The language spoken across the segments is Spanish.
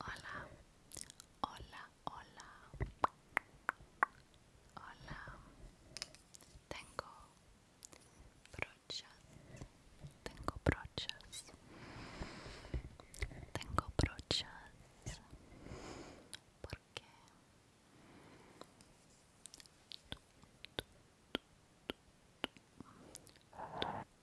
Hola, hola, hola. Hola. Tengo brochas. Tengo brochas. Tengo brochas. Porque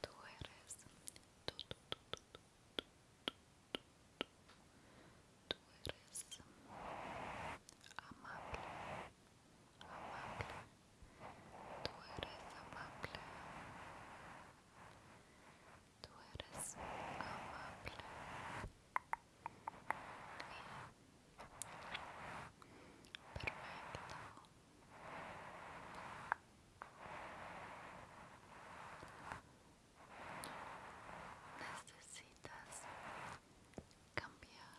Tú eres tú, tú, tú, tú, tú, tú, tú, tú eres amable, amable, tú eres amable, tú eres amable perfecto. Necesitas cambiar.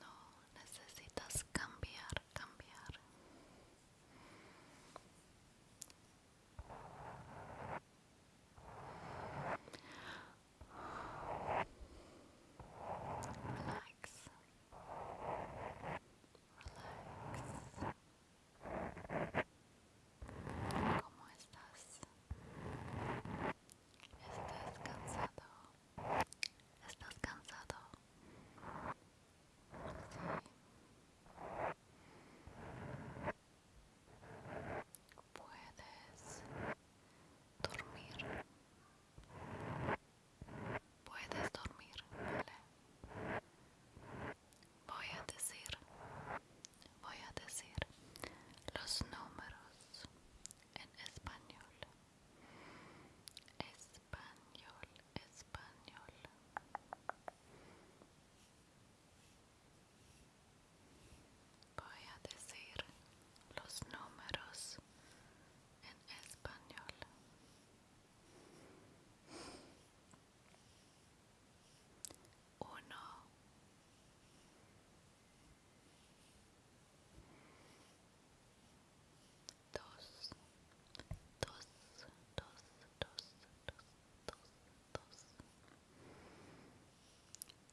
No necesitas cambiar, cambiar. Relax. Relax. ¿Cómo estás? ¿Estás cansado? ¿Estás cansado? Puedes dormir. Puedes dormir, ¿vale? Voy a decir, voy a decir los números en español. Es español, español. Voy a decir los números en español. 1 dos, dos, dos, dos, dos, dos,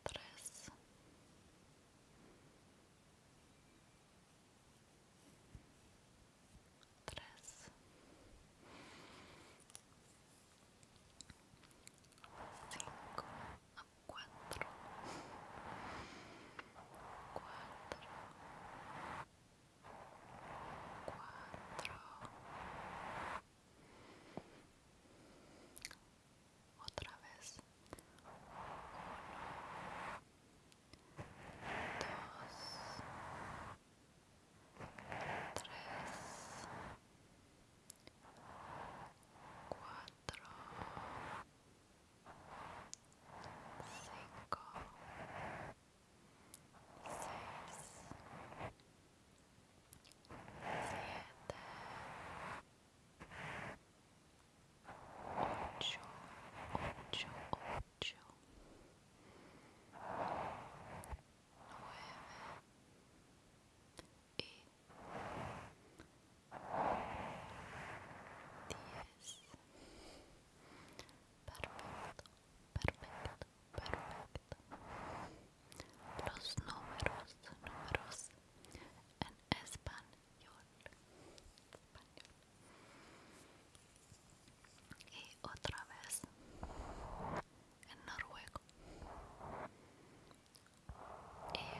tres, tres, cuatro, cuatro cuatro otra vez uno dos tres cuatro cinco ocho, ocho, ocho, nueve y diez. Perfecto, perfecto, perfecto. Los números, números en español. español. Y otra vez en noruego. En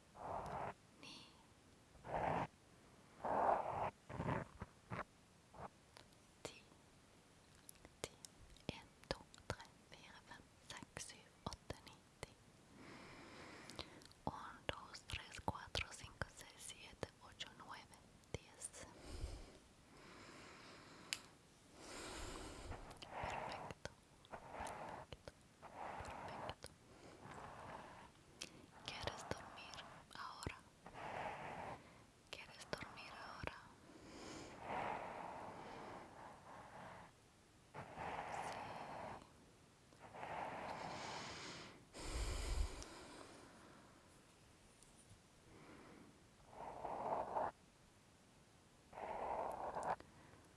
ni tres cuatro cinco seis siete ocho nueve diez perfecto ¿Quieres dormir ahora? ¿Quieres dormir ahora?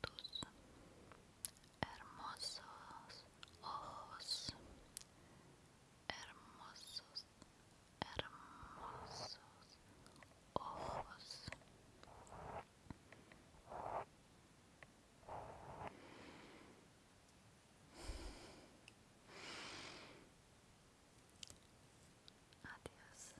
tus hermosos ojos, hermosos, hermosos ojos. Adiós.